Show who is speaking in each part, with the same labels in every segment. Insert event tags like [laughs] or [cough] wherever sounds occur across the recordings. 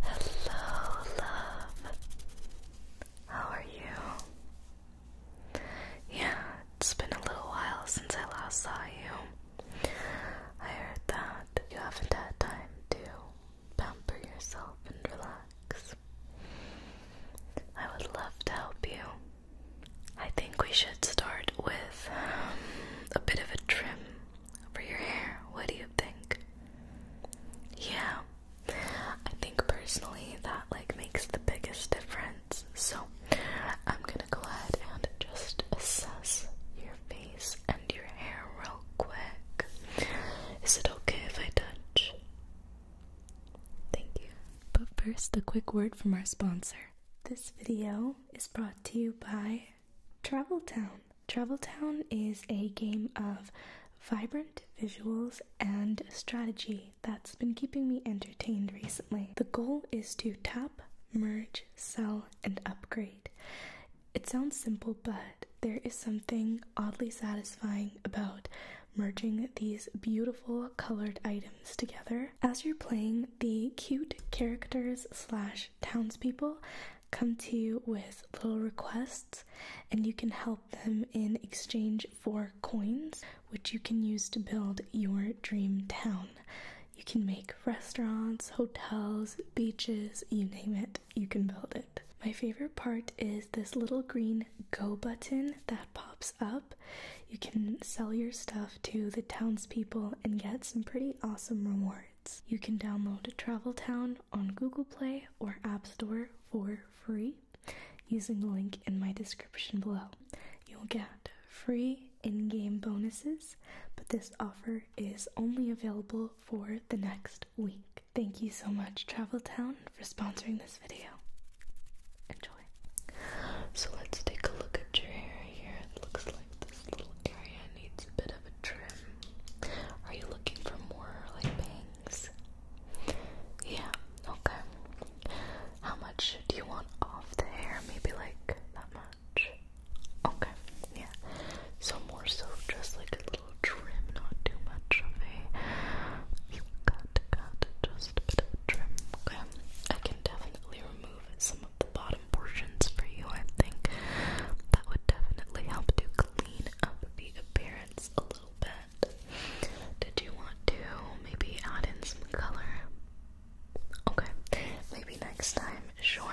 Speaker 1: Hello, love. How are you? Yeah, it's been a little while since I last saw you. I heard that you haven't had time to pamper yourself and relax. I would love to help you. I think we should start with um, a bit of a trim for your hair. What do you think? Yeah. I think personally that like makes the biggest difference. So, I'm going to go ahead and just assess your face and your hair real quick. Is it okay if I
Speaker 2: touch? Thank you. But first, a quick word from our sponsor. This video is brought to you by Travel Town. Travel Town is a game of vibrant visuals and strategy that's been keeping me entertained recently. The goal is to tap, merge, sell, and upgrade. It sounds simple, but there is something oddly satisfying about merging these beautiful colored items together. As you're playing, the cute characters slash townspeople come to you with little requests and you can help them in exchange for coins which you can use to build your dream town. You can make restaurants, hotels, beaches, you name it, you can build it. My favorite part is this little green go button that pops up. You can sell your stuff to the townspeople and get some pretty awesome rewards. You can download Travel Town on Google Play or App Store for free using the link in my description below. You'll get free in game bonuses, but this offer is only available for the next week. Thank you so much, Travel Town, for sponsoring this video. Enjoy. So let's take a look at your hair here. It looks this little area needs a bit of a trim.
Speaker 1: Are you looking for more like bangs? Yeah, okay. How much do you want off the hair? Maybe like that much. Okay, yeah. So more so just like a little trim, not too much of a cut, cut, just a bit of trim. Okay, I can definitely remove some of bottom portions for you, I think that would definitely help to clean up the appearance a little bit. Did you want to maybe add in some color? Okay, maybe next time, sure.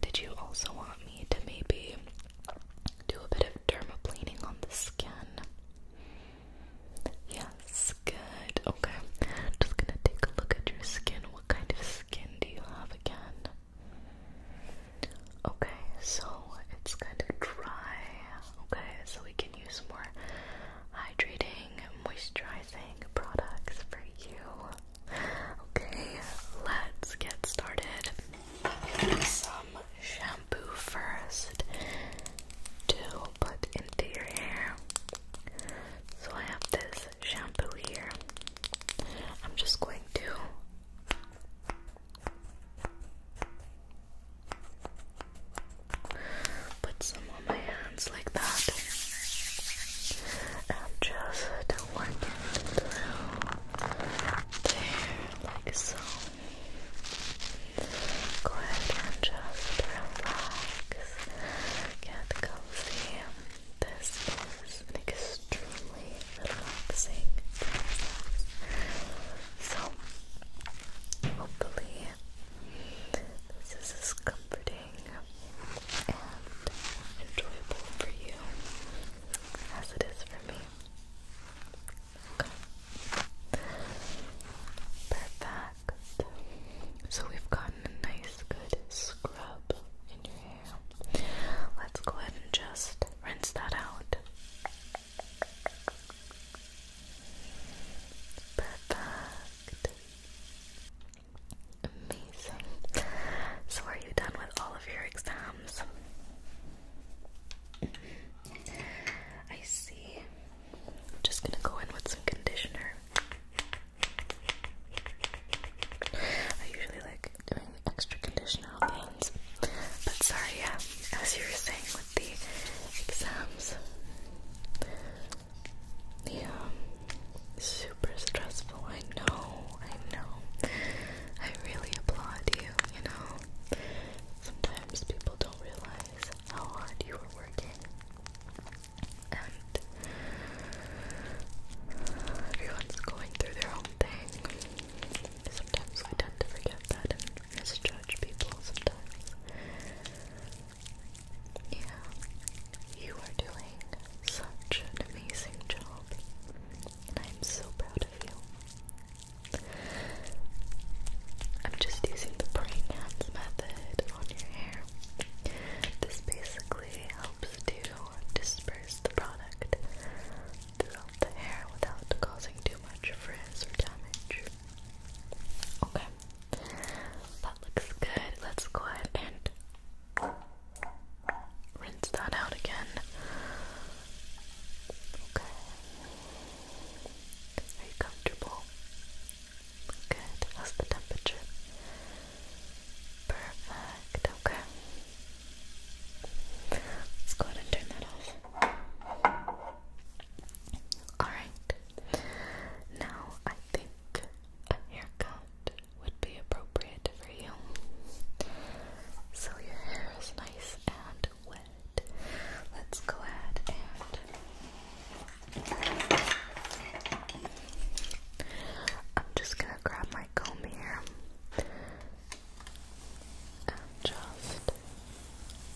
Speaker 1: Did you also want me to maybe do a bit of dermaplaning on the skin? Yes, good. Okay, just gonna take a look at your skin. What kind of skin do you have again? Okay, so it's kind of dry. Okay, so we can use more hydrating, moisturizing products for you. Okay, let's get started. Some shampoo first to put into your hair. So I have this shampoo here. I'm just going to put some on my hands like that and just work it through like so. Go ahead and just relax, get cozy. This is an extremely relaxing process. So, hopefully, this is comforting and enjoyable for you as it is for me. Perfect. So, we've gotten a nice, good scrub in your hair. Let's go ahead and just rinse that out. Amazing. So, are you done with all of your exams? I see. am just gonna go in with some conditioner. I usually like doing the extra conditional things. But sorry, yeah, as you were saying with the exams, yeah, um, super stressful. I know, I know. I really applaud you, you know. Sometimes people don't realize how hard you are working. And Everyone's going through their own thing. Sometimes I tend to forget that and misjudge people sometimes. Yeah, you are doing such an amazing job, and I am so proud of you. I'm just using the brain hands method on your hair. This basically helps to disperse the product throughout the hair without causing too much frizz or damage. Okay, that looks good. Let's go ahead and rinse that out again. Okay. Are comfortable? Good. How's the temperature? Perfect, okay. Let's go ahead and turn that off. Alright. Now I think a haircut would be appropriate for you. So your hair is nice and wet. Let's go ahead and I'm just gonna grab my comb here and just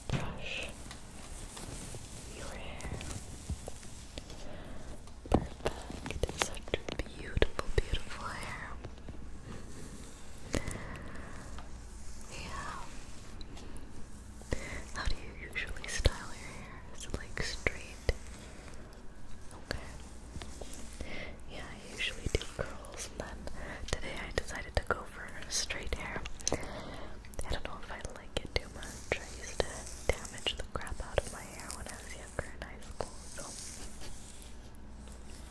Speaker 1: brush your hair. Perfect, such beautiful, beautiful hair. yeah. How do you usually style your hair? Is it like straight? Okay. Yeah, I usually do curls, and then today I decided to go for straight hair. I don't know if I like it too much. I used to damage the crap out of my hair when I was younger in high school, so.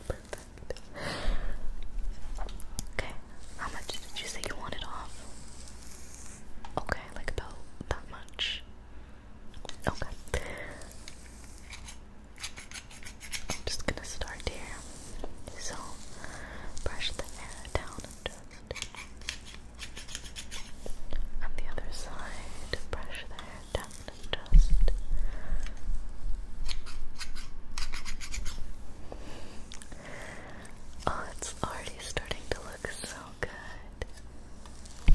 Speaker 1: Perfect. Okay, how much did you say you wanted off? Okay, like about that much. Okay. I'm just gonna start here. So, brush the hair down just. On the other side, brush the hair down just. Oh, it's already starting to look so good. Okay.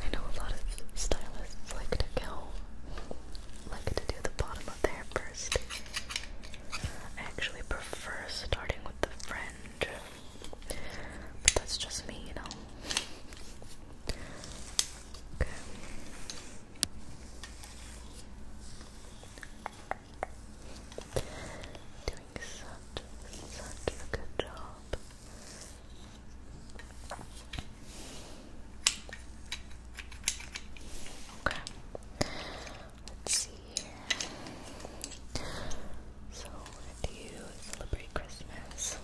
Speaker 1: I know a lot of stylists like to go, like to do the bottom of their hair first. I actually prefer starting with the fringe, but that's just me, you know. Okay. Doing such, such a good job. Okay. Let's see So, do you celebrate Christmas?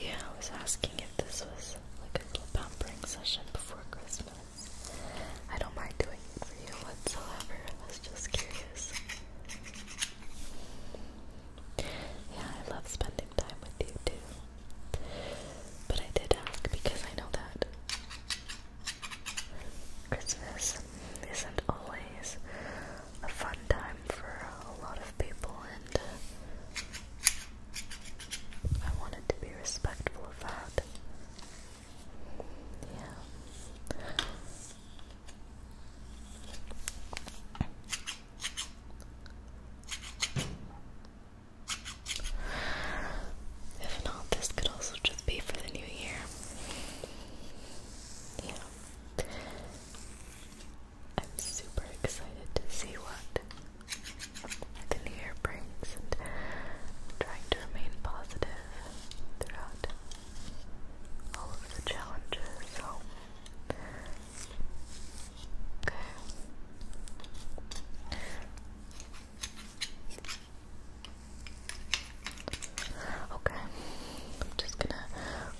Speaker 1: Yeah, I was asking if this was like a little pampering session before Christmas. I don't mind doing it for you whatsoever. I was just curious. Yeah, I love spending time with you too. But I did ask because I know that Christmas isn't always a fun time for a lot of people, and uh, I wanted to be respectful of that. If not, this could also just be for the new year. Yeah. I'm super excited to see what the new year brings and I'm trying to remain positive throughout all of the challenges. So, okay. Okay, I'm just gonna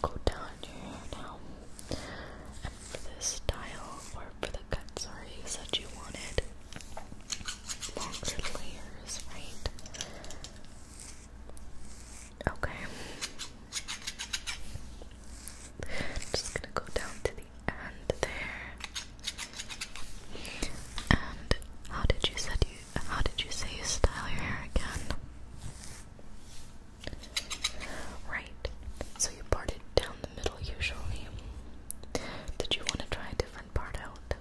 Speaker 1: go down here now. And for this style, or for the cut, sorry, you said you wanted longer layers, right? Okay. Just gonna go down to the end there. And how did you said you how did you say you style your hair again? Right, so you part it down the middle usually. Did you want to try a different part out?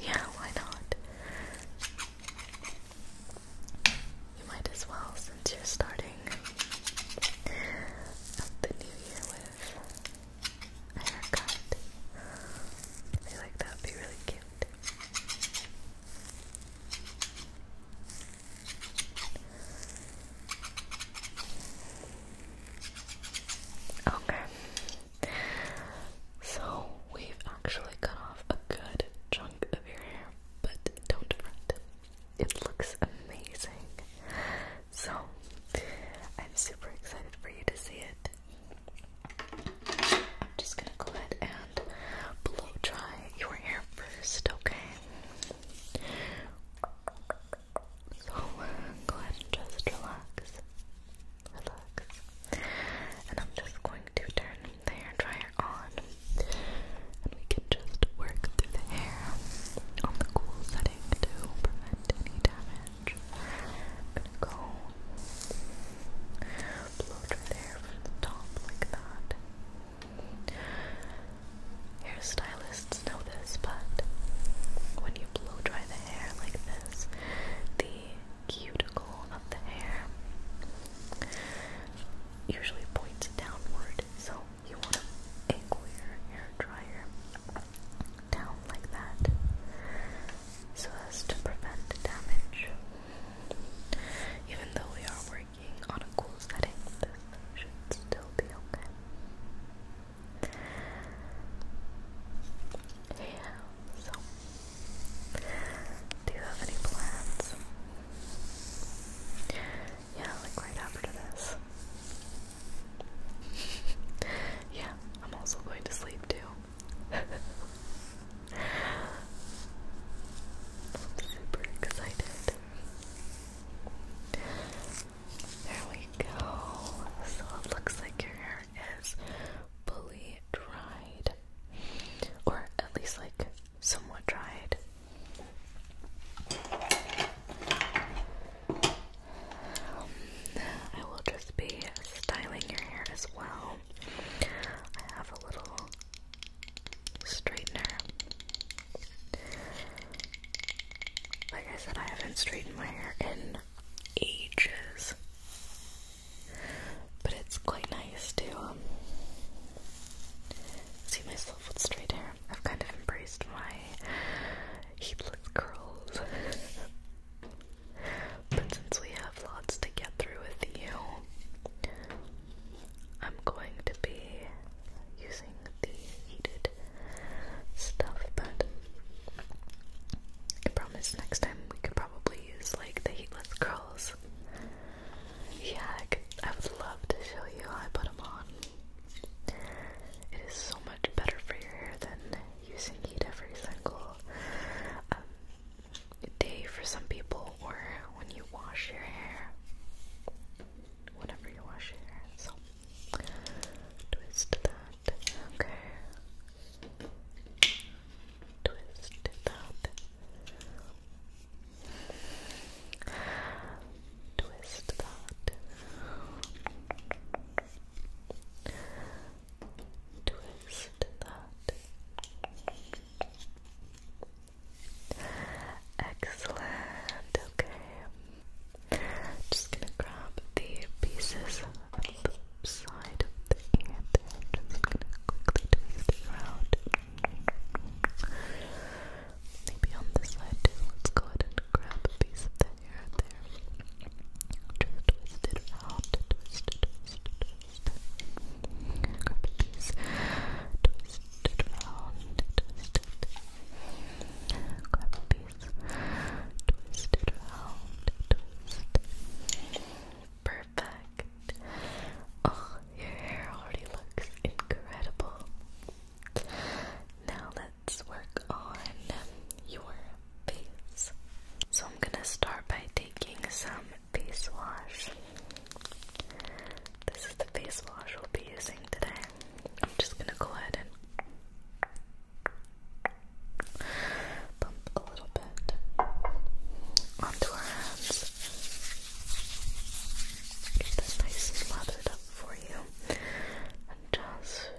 Speaker 1: Yeah, why not? You might as well since you're starting the new year with a haircut. I like that would be really cute. Okay. So we've actually cut off a good chunk of your hair, but don't fret. It looks amazing. So I'm super excited for you to see it. I'm just gonna go ahead and blow dry your hair first, okay? So go ahead and just relax. Relax. And I'm just going to turn the hair dryer on. And we can just work through the hair on the cool setting to prevent any damage. gonna go blow through the hair the top like that stylists know this, but when you blow dry the hair like this, the cuticle of the hair usually points downward, so you want to angle your hair dryer down like that so as to prevent damage. Even though we are on a cool setting, this should still be okay. Yeah, so do you have any plans? Yeah, like right after this. [laughs] yeah, I'm also going to sleep too. [laughs] I'm super excited. There we go. So it looks like your hair is fully dried, or at least like somewhat dried. Um, I will just be styling your hair as well. I have a little straightener. Like I said, I haven't straightened my hair in ages. But it's quite nice to um, see myself with straight hair. I've kind of embraced my heedless curls. [laughs] but since we have lots to get through with you, I'm going to be using the heated stuff, but I promise next time we could probably use like the heatless curls. Yeah, I, would love to show you how I put them on. It is so much better for your hair than using heat every single um, day for some people, or when you wash your hair whenever you wash your hair. So twist that. Okay. Twist that. Twist that. Twist that. Excellent. Okay. Just gonna grab the pieces on the side of the ear Just gonna quickly twist it around. Maybe on this side too. Let's go ahead and grab a piece of the hair there. twist it around. Grab a piece twisted, round, twisted. Grab a piece. Twisted, round, twisted. Perfect. Oh, your hair already looks incredible. Now let's work on your face. So I'm gonna start by taking some face wash. This is the face wash we'll be using today. I'm just gonna go ahead and pump a little bit onto our hands. Get that nice and lathered up for you. And just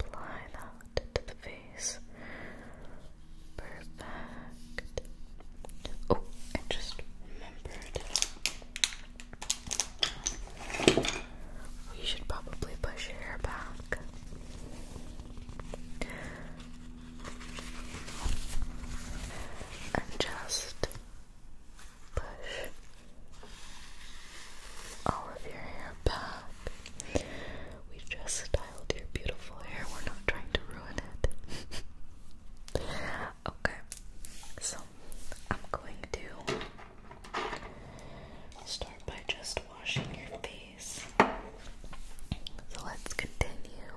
Speaker 1: apply that to the face. Perfect. Oh, I just remembered we should probably push your hair back. And just push all of your hair back. We just styled your beautiful hair. We're not trying to ruin it. [laughs] Okay, so I'm going to start by just washing your face. So let's continue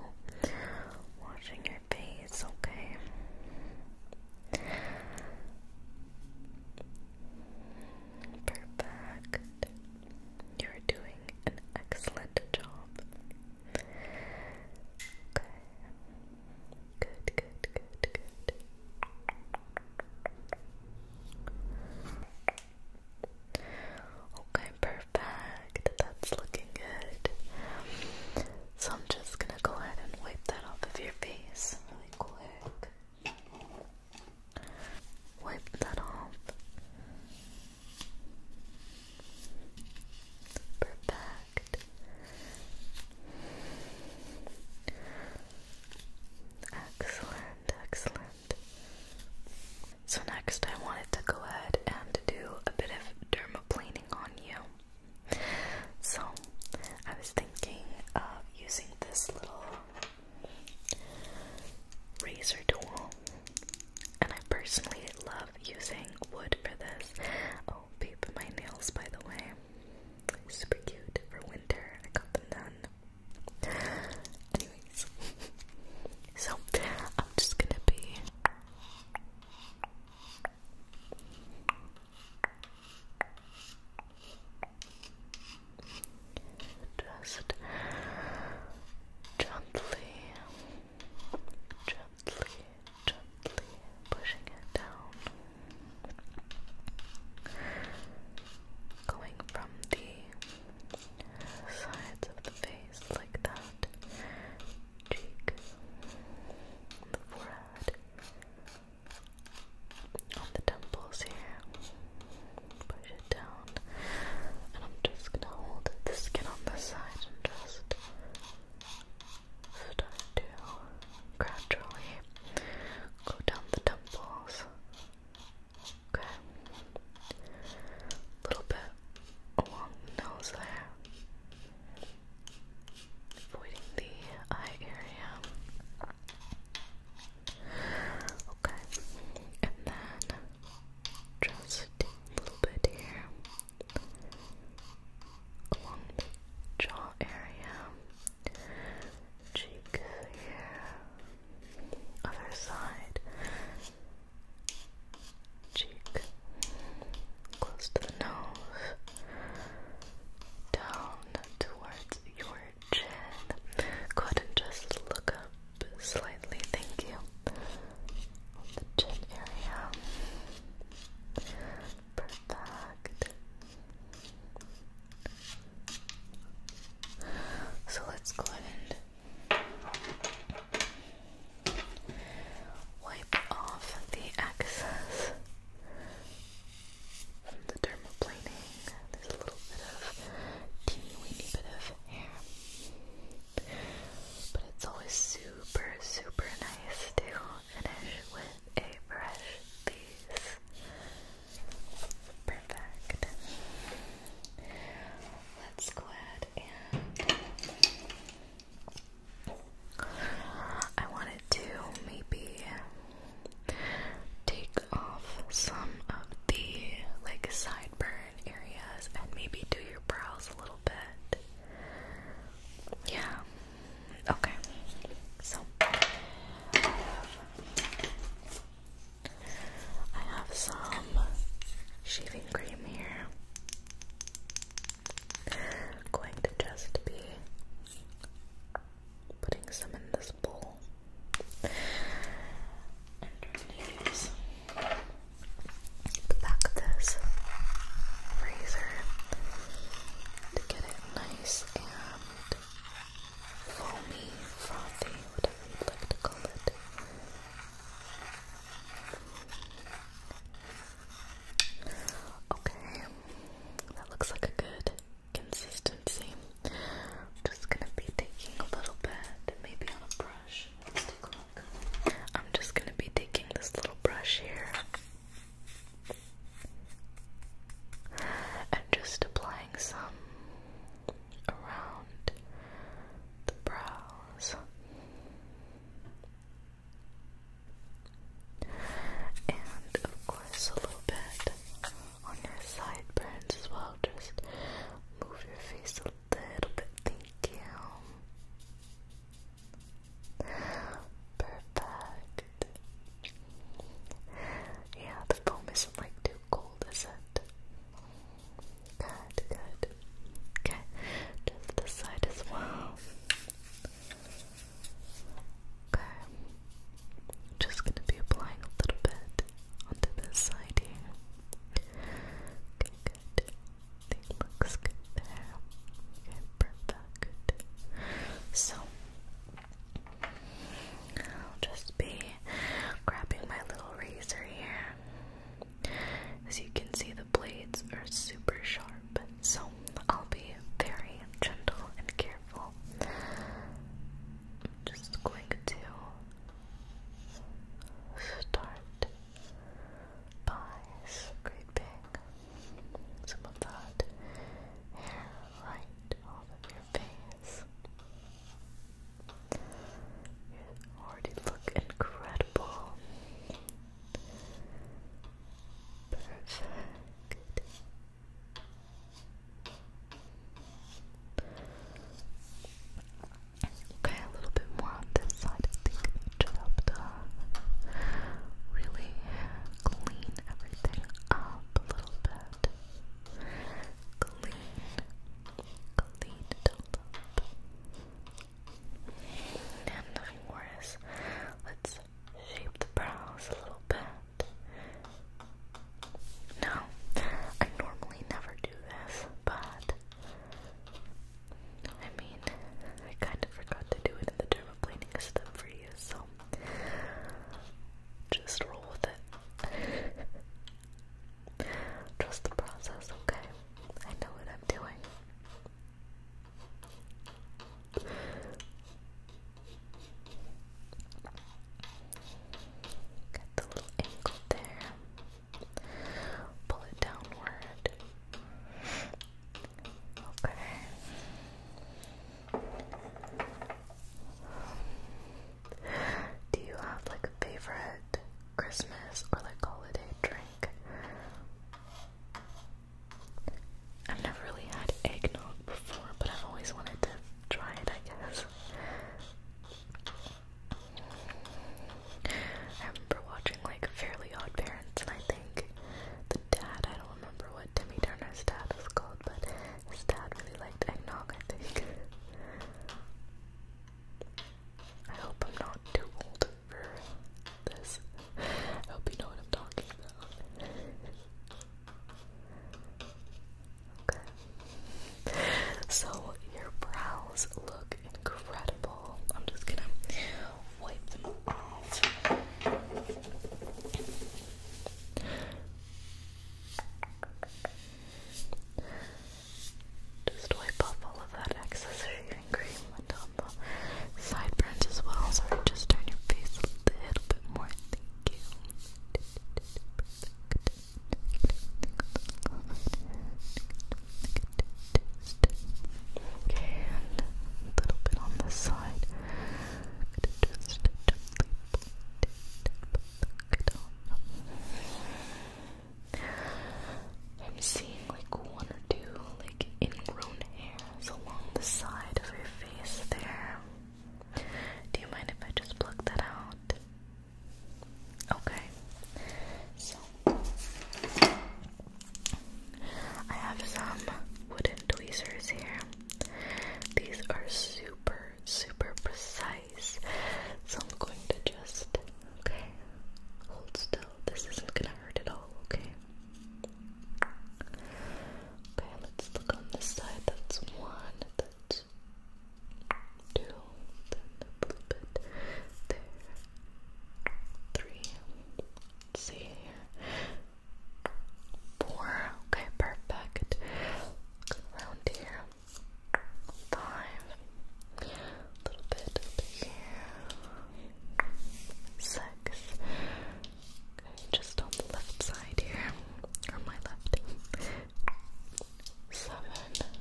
Speaker 1: washing your face, okay? Perfect. You're doing an excellent job. Okay. Good, good, good, good. Okay, perfect. That's looking good. So I'm just gonna go ahead and wipe that off of your face really quick. Wipe that off. Perfect. Excellent, excellent. So, next, I wanted to go ahead and do a bit of dermaplaning on you. So, I was thinking of using this little razor tool, and I personally love using wood for this peep my nails by the way. Super cute for winter. I got them done. Anyways, [laughs] so I'm just gonna be. Just gently, gently, gently pushing it down. Going from the sides of the face like that, cheek, the forehead, on the temples here. Push it down, and I'm just gonna hold the skin on this side and just Start to gradually go down the temples. Okay. little bit along the nose there. Avoiding the eye area. Okay. And then just a little bit here along the jaw area, cheek here, other side, cheek, close to the nose, down towards your chin. Go ahead and just look up slightly, thank you. the chin area. Perfect. So let's go ahead and wipe off the excess from the dermaplaning. There's a little bit of teeny weeny bit of hair. But it's always super, super nice to finish with a brush piece. Perfect. Let's go ahead and I wanted to maybe take off some of the like sideburn areas and maybe do your brows a little bit. Yeah, Okay, so I have, some shaving cream here. Going to just be putting some in this bowl and use the back of this razor to get it nice and foamy, frothy, whatever you'd like to call it. Okay, that looks like a good consistency. I'm just gonna be taking a little bit, maybe on a brush. I'm just gonna be taking this little brush here and just applying some around the brows. And of course, a little bit on your sideburns as well. Just move your face a little bit. Thank you. Perfect. Yeah, the foam isn't like too cold, is it? Good, good. Okay, just this side as well. Okay, just gonna be applying a little bit onto this side here. good. think looks good there. Okay, perfect. So I'll just be grabbing my little razor here. As you can see, the blades are super sharp, so I'll be very gentle and careful. I'm just going to start by scraping some of that hair right off of your face. You already look incredible. Perfect. Okay, a little bit more on this side. I think that should help really clean everything up a little bit. Clean, clean it up. And nothing worse. Let's shape the brows a little bit. Now, I normally never do this, but I mean, I kind of forgot to do it in the dermaplaning step for you, so just roll with it. Trust the process, okay? I know what I'm doing. Get the little ankle there. Pull it downward. Okay. Do you have like a favorite Christmas or like holiday drink? I've never really had eggnog before, but I've always wanted to try it, I guess. I remember watching like Fairly Odd Parents, and I think the dad. I don't remember what Timmy Turner's dad was called, but his dad really liked eggnog, I think. I hope I'm not too old for this. I hope you know what I'm talking about. Okay. So your brows look incredible. I'm just going wipe them Just wipe off all of that excess shaving cream on the sideburns as well. So just turn your face a little bit more. Okay, and a little bit on this side. I'm seeing like one or two like ingrown hairs along the side of your face there. Do you mind if I just pluck that out? Okay. So I have some wooden tweezers here. These are super, super precise. So I'm going to just, okay, hold still. This isn't gonna hurt at all, okay? Okay, let's look on this side. That's one, that's two, then a little bit there, 3 see Four. Okay, perfect. Around here. Five. little bit up here. Six. Okay, just on the left side here. Or my left. Seven.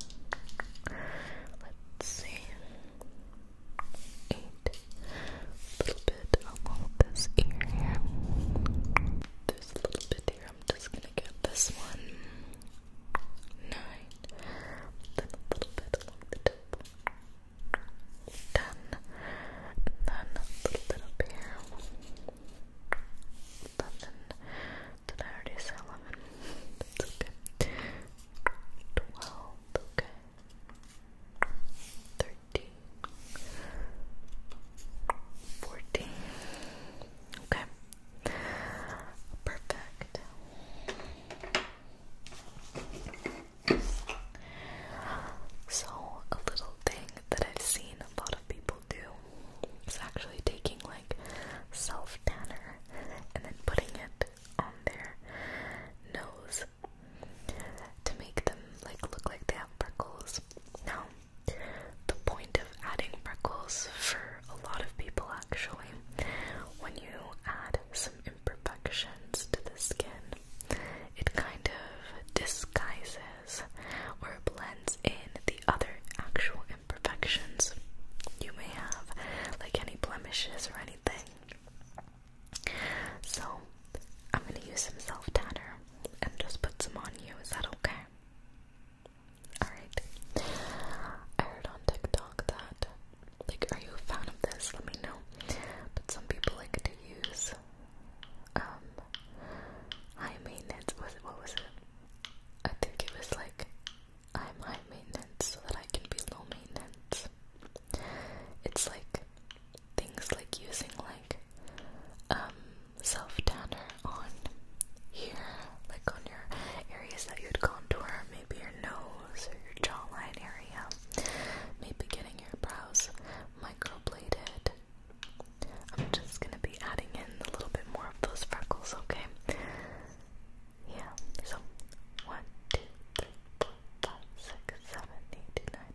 Speaker 1: Let's see. Eight. A little bit along this here. There's a little bit here. I'm just gonna get this one. Nine. Then a little bit along the tip. Ten. then a little bit up here. Eleven. Did I already say eleven? That's okay. Twelve. Okay thirteen, fourteen. Okay, perfect. So, a little thing that I've seen a lot of people do is actually taking like self tanner and then putting it on their nose to make them like look like they have freckles. Now, the point of adding freckles for a lot of people actually, when you add some imperfections to the skin, it kind of disguises or blends in the other actual imperfections you may have, like any blemishes or anything. So I'm gonna use some self tanner and just put some on you. Is that okay? Alright. I heard on TikTok that like are you a fan of this? Let me know. But some people like to use um high maintenance was what was it? I think it was like I'm high maintenance so that I can be low maintenance. It's like things like using like um self tanner on here, like on your areas that you'd contour, maybe your nose or your jawline area, maybe getting your brows microbladed. I'm just gonna be adding in a little bit more of those freckles, okay? Yeah, so one, two, three, four, five, six, seven, eight, nine,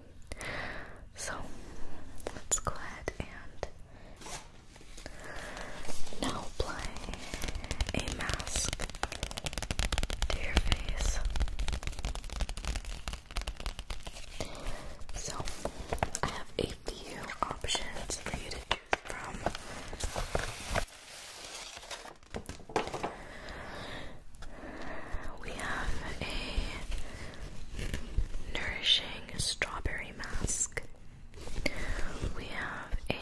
Speaker 1: So let's go ahead and now apply a mask to your face. So I have a few options for you to choose from. We have a nourishing strawberry mask. We have a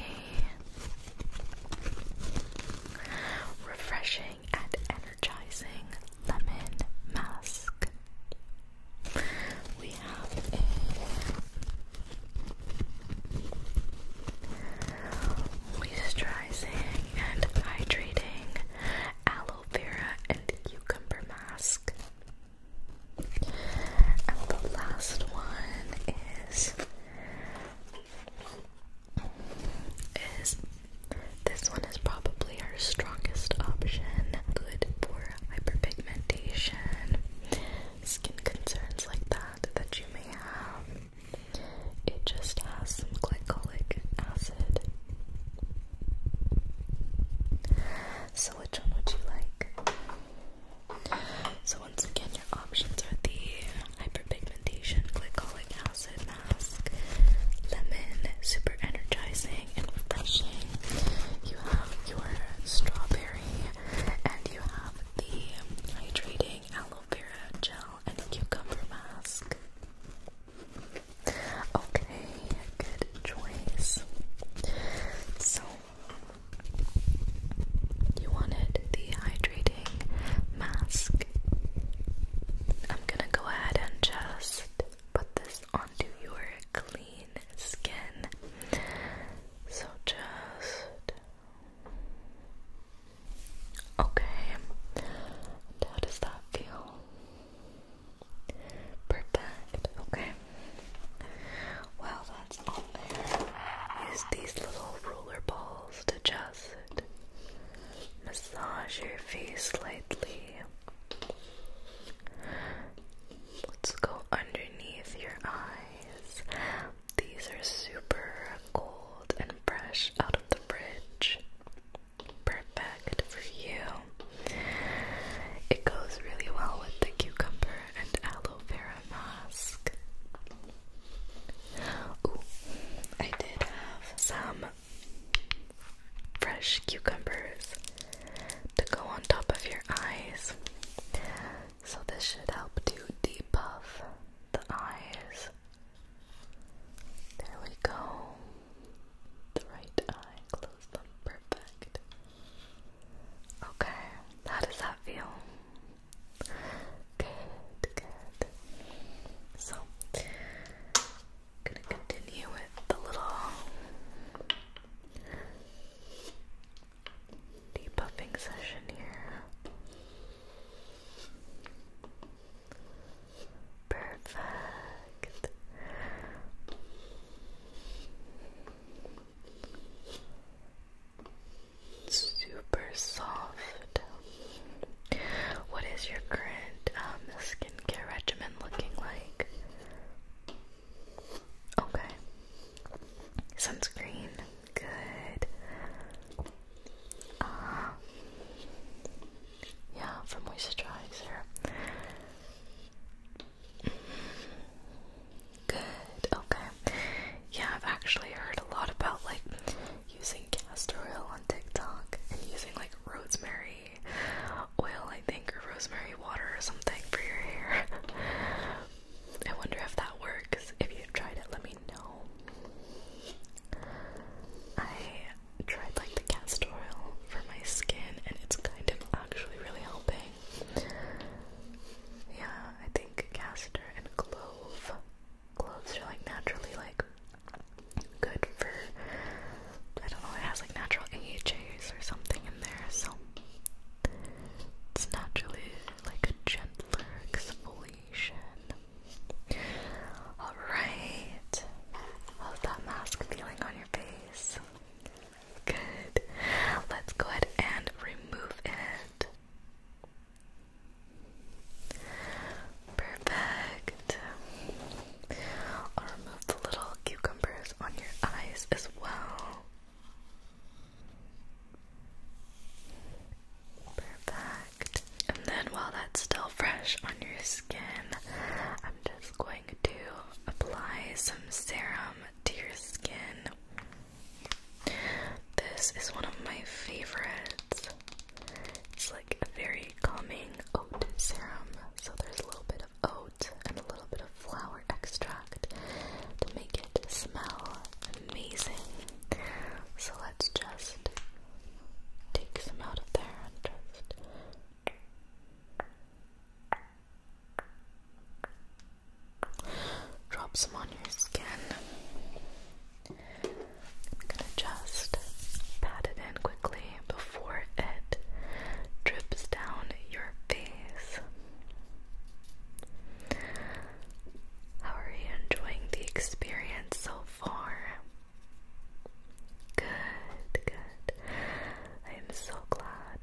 Speaker 1: refreshing and energizing lemon mask. We have a moisturizing and hydrating aloe vera, and cucumber mask. And the last one is is this one is probably our strongest option. Good for hyperpigmentation, skin concerns like that that you may have. It just has some glycolic acid. So, which one would you like? So, once again, your options are the hyperpigmentation glycolic acid mask, lemon, super energizing and refreshing. You have your strawberry, and you have the hydrating aloe vera gel and cucumber mask. Okay, good choice. So, you wanted the hydrating mask. I'm gonna go ahead and just put this onto your clean skin. So, just Okay, how does that feel? Perfect, okay. Well, that's on there. Use these little roller balls to just massage your face lightly. Let's go underneath your eyes. These are super cold and fresh out of the fridge perfect for you. It goes really well with the cucumber and aloe vera mask. I did have some fresh cucumbers to go on top of your eyes. So this should help to depuff the eyes there we go. The right eye, close them, perfect. Okay, how does that feel? Good, good. So, gonna continue with the little debuffing session here. Perfect. Super soft. What is your current um, skincare regimen looking like? Okay. Sunscreen. Good. Uh, yeah, from moisturize here. Good, okay. Yeah, I've actually heard a lot about like using castor oil on TikTok and using like rosemary oil, I think, or rosemary water or something for your hair. [laughs] I wonder if that works. If you've tried it, let me know. I tried like the castor oil for my skin and it's kind of actually really helping. Yeah, I think castor and clove. Cloves are like naturally like good for I don't know, it has like natural AHAs or something in there, so it's naturally like a gentler exfoliation. Alright. How's that mask feeling on your face? Good. Let's go ahead and remove it. Perfect. I'll remove the little cucumbers on your eyes as well. Perfect. And then while that's still fresh on your skin, I'm just going to apply some serum to your skin. This is one of my favorites. It's like a very calming oat serum. So there's a little bit of oat and a little bit of flower extract to make it smell amazing. So let's just take some out of there and just drop some on your skin. I'm gonna just pat it in quickly before it drips down your face. How are you enjoying the experience so far? Good, good. I am so glad.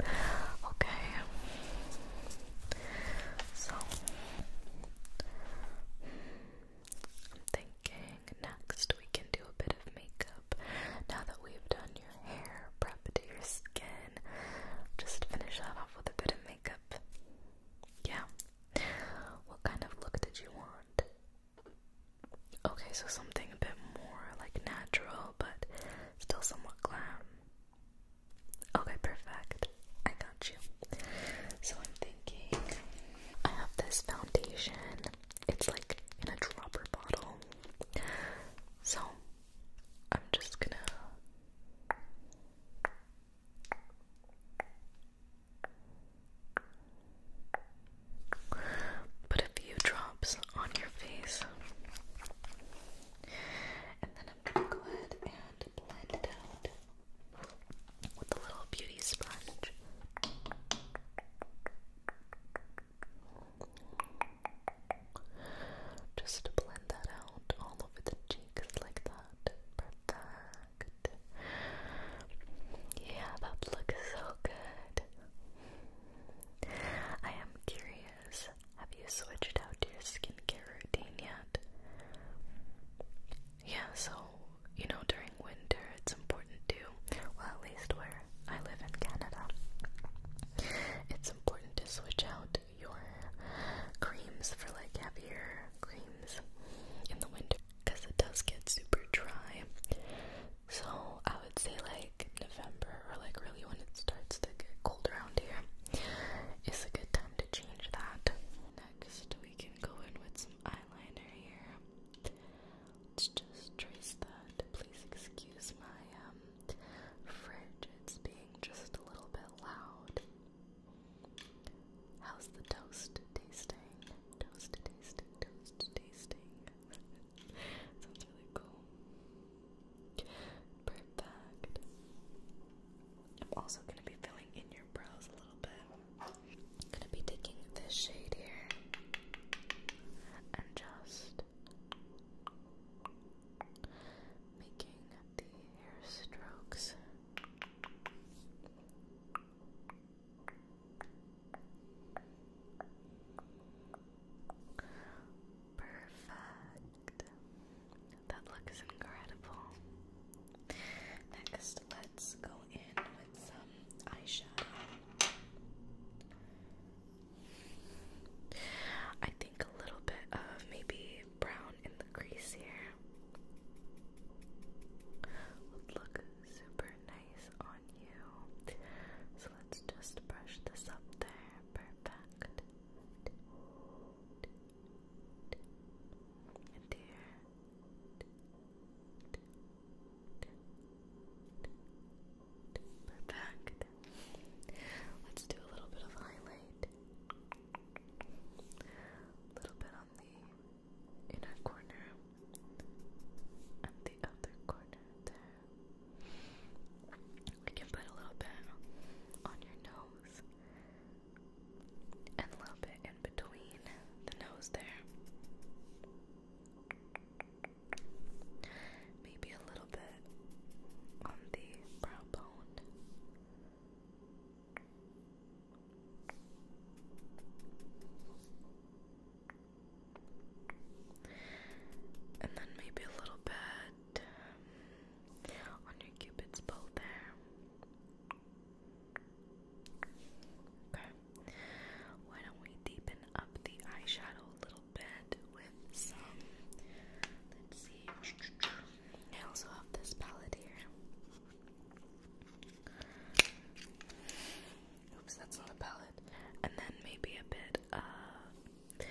Speaker 1: Okay. So I'm thinking next we can do a bit of makeup. Now that we've done your hair, prep your skin, just finish that off with a bit of makeup. Yeah, what kind of look did you want? Okay, so something a bit more like natural, but still somewhat glam. Okay, perfect. I got you. So I'm thinking I have this foundation. It's like in a dropper bottle. So I'm just gonna Put a few drops on your face. And then I'm going to go ahead and blend it out with a little beauty sponge. Just to blend that out all over the cheeks like that. Perfect. Yeah, that looks so good. I am curious, have you switched out your skincare routine yet? Yeah, so, you know, during winter it's important to, well, at least where I live in Canada, it's important to switch out your creams for like heavier creams in the winter because it does get super dry. So I would say like November or like really when it starts to get cold around here is a good time to change that. Next we can go in with some eyeliner here. Let's just trace that. Please excuse my um, fridge, it's being just a little bit loud. How's the toast tasting? Toast tasting, toast tasting. [laughs] Sounds really cool. Perfect. I'm also going to be filling in your brows a little bit. going to be taking this shade here and just making the hair strokes. Perfect. That looks incredible. Next, let's go in with some eyeshadow. I think a little bit of maybe brown in the crease here would look super nice on you. So let's just brush this up there. Perfect. And here. Perfect. Let's do a little bit of highlight. A little bit on the in a corner and the other corner there. I can put a little bit on your nose and a little bit in between the nose there. Maybe a little bit on the brow bone. And then maybe a little bit on your cupid's bow there. Okay. Why don't we deepen up the eyeshadow a little bit with some? Let's see. I also have this palette here. Oops, that's not a palette. And then maybe a bit of uh,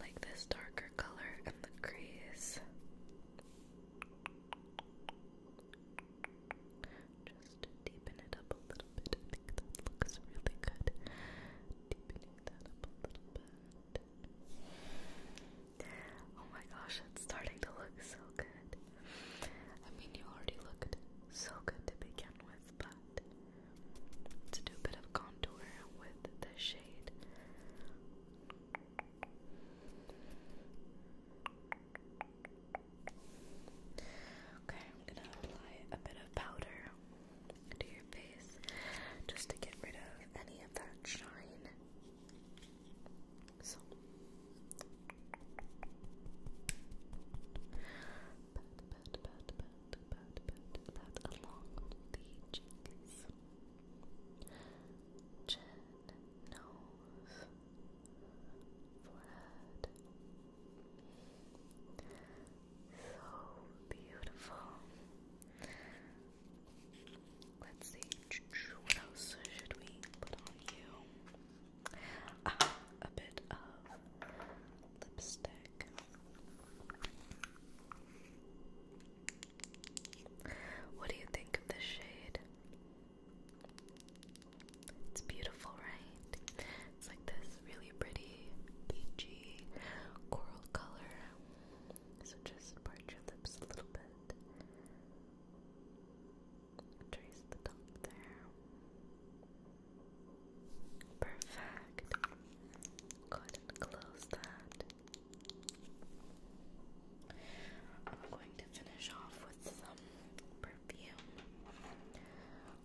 Speaker 1: like this darker color in the crease. Just deepen it up a little bit. looks really good. Deepening that up a little bit. Oh my gosh, it's starting to look so good. I mean, you already looked so good to begin with, but to do a bit of contour with the shade. Okay, I'm gonna apply a bit of powder to your face just to get rid of any of that shine so, pat, pat, pat, pat, pat, pat along the cheeks, chin, nose, forehead. So beautiful. Let's see. What else should we put on you? Ah, a bit of lipstick. What do you think of this shade? It's beautiful, right? It's like this really pretty peachy coral color. So just part your lips a little bit. Trace the top there. Perfect. Go ahead and close that. I'm going to finish off with some perfume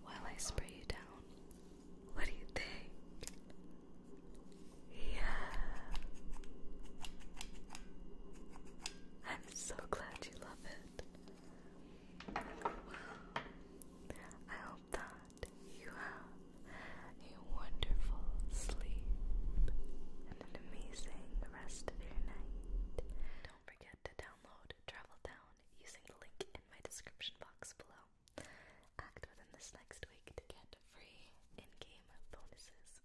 Speaker 1: while I spray you down. What do you think? Yeah. I'm so glad you love it. I hope that you have a wonderful sleep and an amazing rest of your night. Don't forget to download Travel Down using the link in my description box below. Act within this next week to get free in game bonuses.